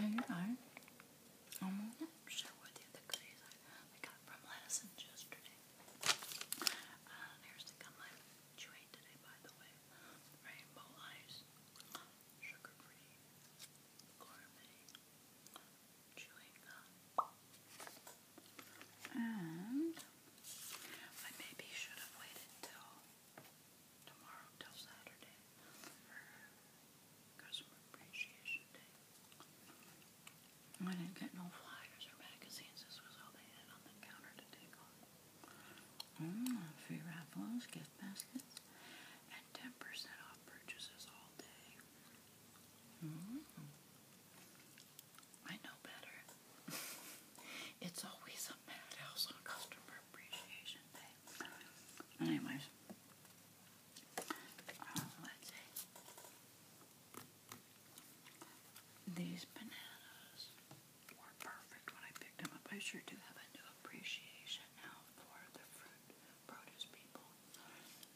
I, I, I'm not sure the goodies I, got from Lattison's yesterday. Uh, here's the gum I'm chewing today, by the way. Rainbow Ice, sugar-free, gourmet, chewing gum. And I maybe should have waited till tomorrow till Saturday for Customer Appreciation Day. I didn't get no flyers or magazines. This was all they had on the counter to free mm, raffles, gift baskets, and 10% off purchases all day. Mm-hmm. I know better. it's always a madhouse on Customer Appreciation Day. Anyways, uh, let's see. These bananas were perfect when I picked them I'm sure to have a new appreciation now for the fruit produce people.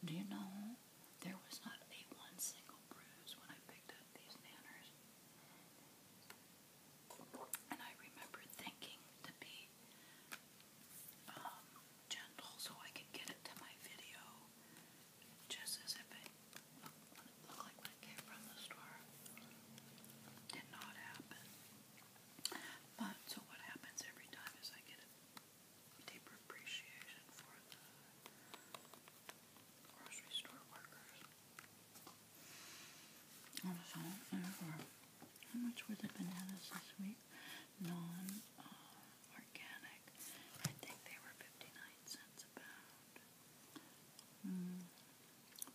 Do you know there was not a one single bruise when I picked up these bananas? And I remember thinking to be um, gentle so I could get it to my video, just as if it looked like it came from the store. Did not happen. But so what happens every time is I get a deeper appreciation for grocery store workers. Also, how much were the bananas this week? Non uh, organic. I think they were 59 cents a pound. Mm.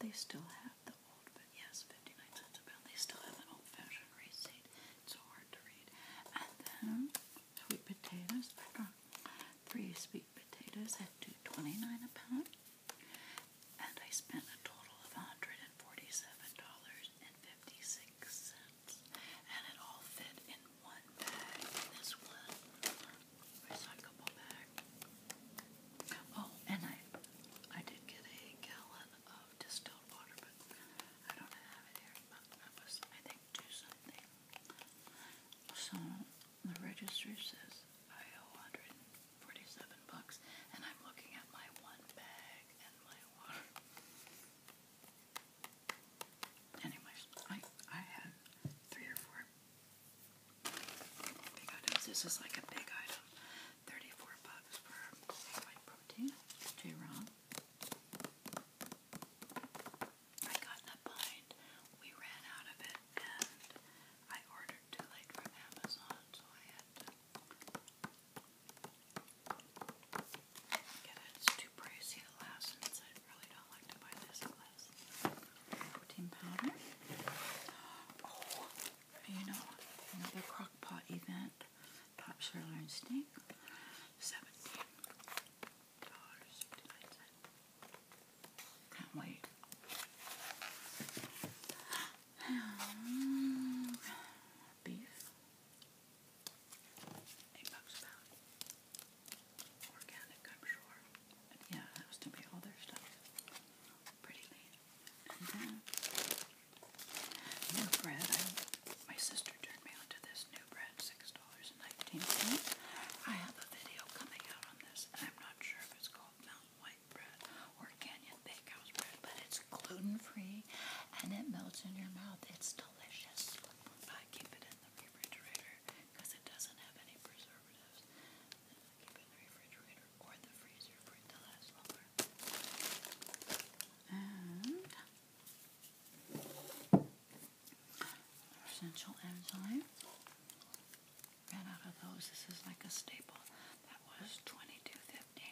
They still have the old, but yes, 59 cents a pound. They still have an old fashioned receipt. It's so hard to read. And then sweet potatoes. three sweet potatoes at two twenty nine a pound, and I spent a total of one hundred and forty seven dollars and fifty six cents, and it all fit in one bag. This one recyclable bag. Oh, and I I did get a gallon of distilled water, but I don't have it here. But I think two something. So the register says I owe 147 bucks, and I'm looking at my one bag and my one. Anyways, I I had three or four big items. This is like a big item, 34 bucks for protein. J. Ron. I got that bind. We ran out of it and I ordered too late from Amazon, so I had get it. It's too pricey to last since I really don't like to buy this class. Protein powder. Oh, you know, another crock event. Pop sirloin steak, seventeen dollars fifty nine cents. Can't wait. Um, eight bucks Organic, I'm sure. yeah, that was to be all their stuff. Pretty lean. New bread. I, my sister turned me onto this new bread, $6.19. I have a video coming out on this, and I'm not sure if it's called Mountain White Bread or Canyon Bakehouse Bread, but it's gluten-free, and it melts in your mouth. It's delicious. I keep it in the refrigerator because it doesn't have any preservatives. I keep it in the refrigerator or the freezer for it to last longer essential enzyme. Ran out of those. This is like a staple. That was twenty two fifty.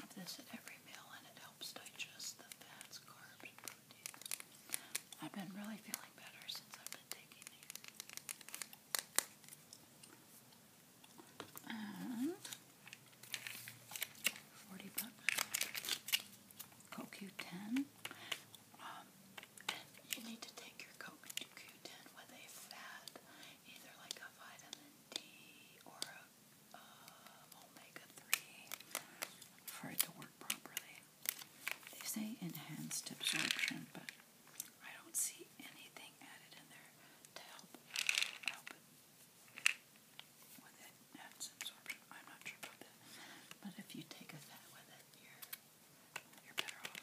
Have this at every meal, and it helps digest the fats, carbs, protein. I've been really feeling better since I've been taking these. And 40 bucks. CoQ10. Um, you need to take your CoQ10 with a fat, either like a vitamin D or a um, omega-3 for it to work properly. They say enhanced absorption, but I don't see anything added in there to help with it add some absorption. I'm not sure about that. But if you take a fat with it, you're you're better off.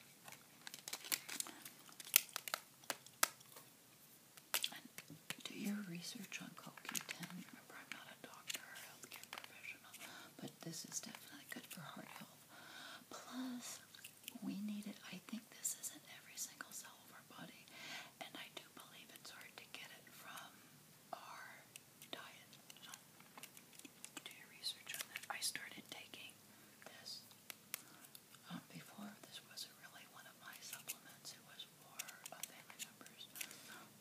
do your research on CoQ10. Remember, I'm not a doctor or healthcare professional, but this is definitely good for heart health. Plus, we need it. I think this is in every single cell of our body, and I do believe it's hard to get it from our diet. do your research on that. I started taking this um, before. This wasn't really one of my supplements. It was for family members.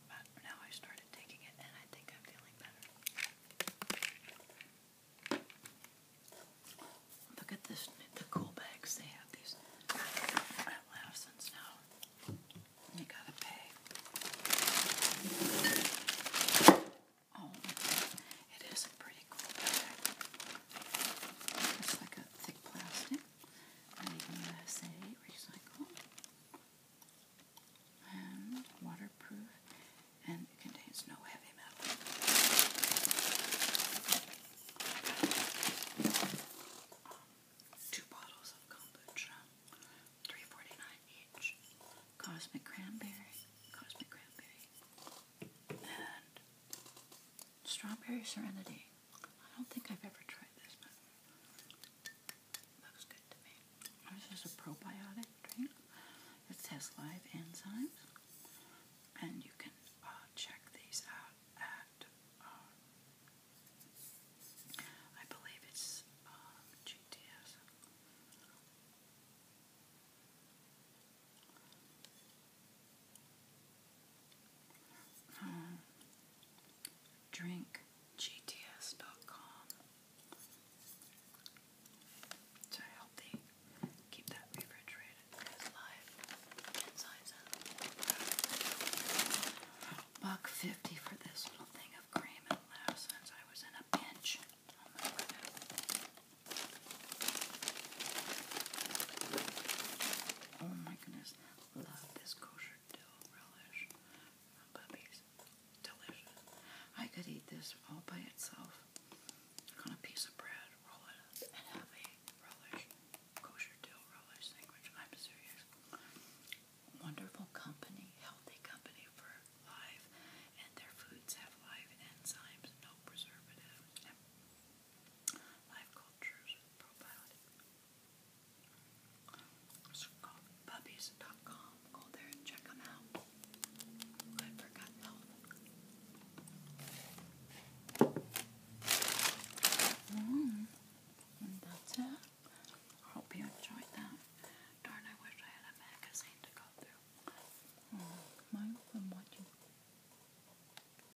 But now I started taking it, and I think I'm feeling better. Look at this, the cool bags. They have these at Lawson's now. You gotta pay. Oh, it is a pretty cool bag. It's like a thick plastic. Made in USA, recycled and waterproof, and it contains no heavy metal. Two bottles of kombucha, three forty nine each. Cosmic cranberry, cosmic cranberry, and strawberry serenity. I don't think I've ever tried this, this is a probiotic drink. that has live enzymes, and you can uh, check these out at, uh, I believe it's uh, GTS drinkgts.com. So healthy. Keep that refrigerated because live Buck fifty for this little thing of cream and last I was in a pinch. Oh my goodness. Love this kosher dill relish from Delicious. I could eat this all by itself on a piece of bread, roll it up, and have a relish, kosher dill relish sandwich. I'm serious. Wonderful company, healthy company for life, and their foods have live enzymes, no preservatives, Life Cultures Profiling. Go there and check them out. I forgot that mm, And that's it. hope you enjoyed that. Darn, I wish I had a magazine to go through. Oh, mm, mine's been watching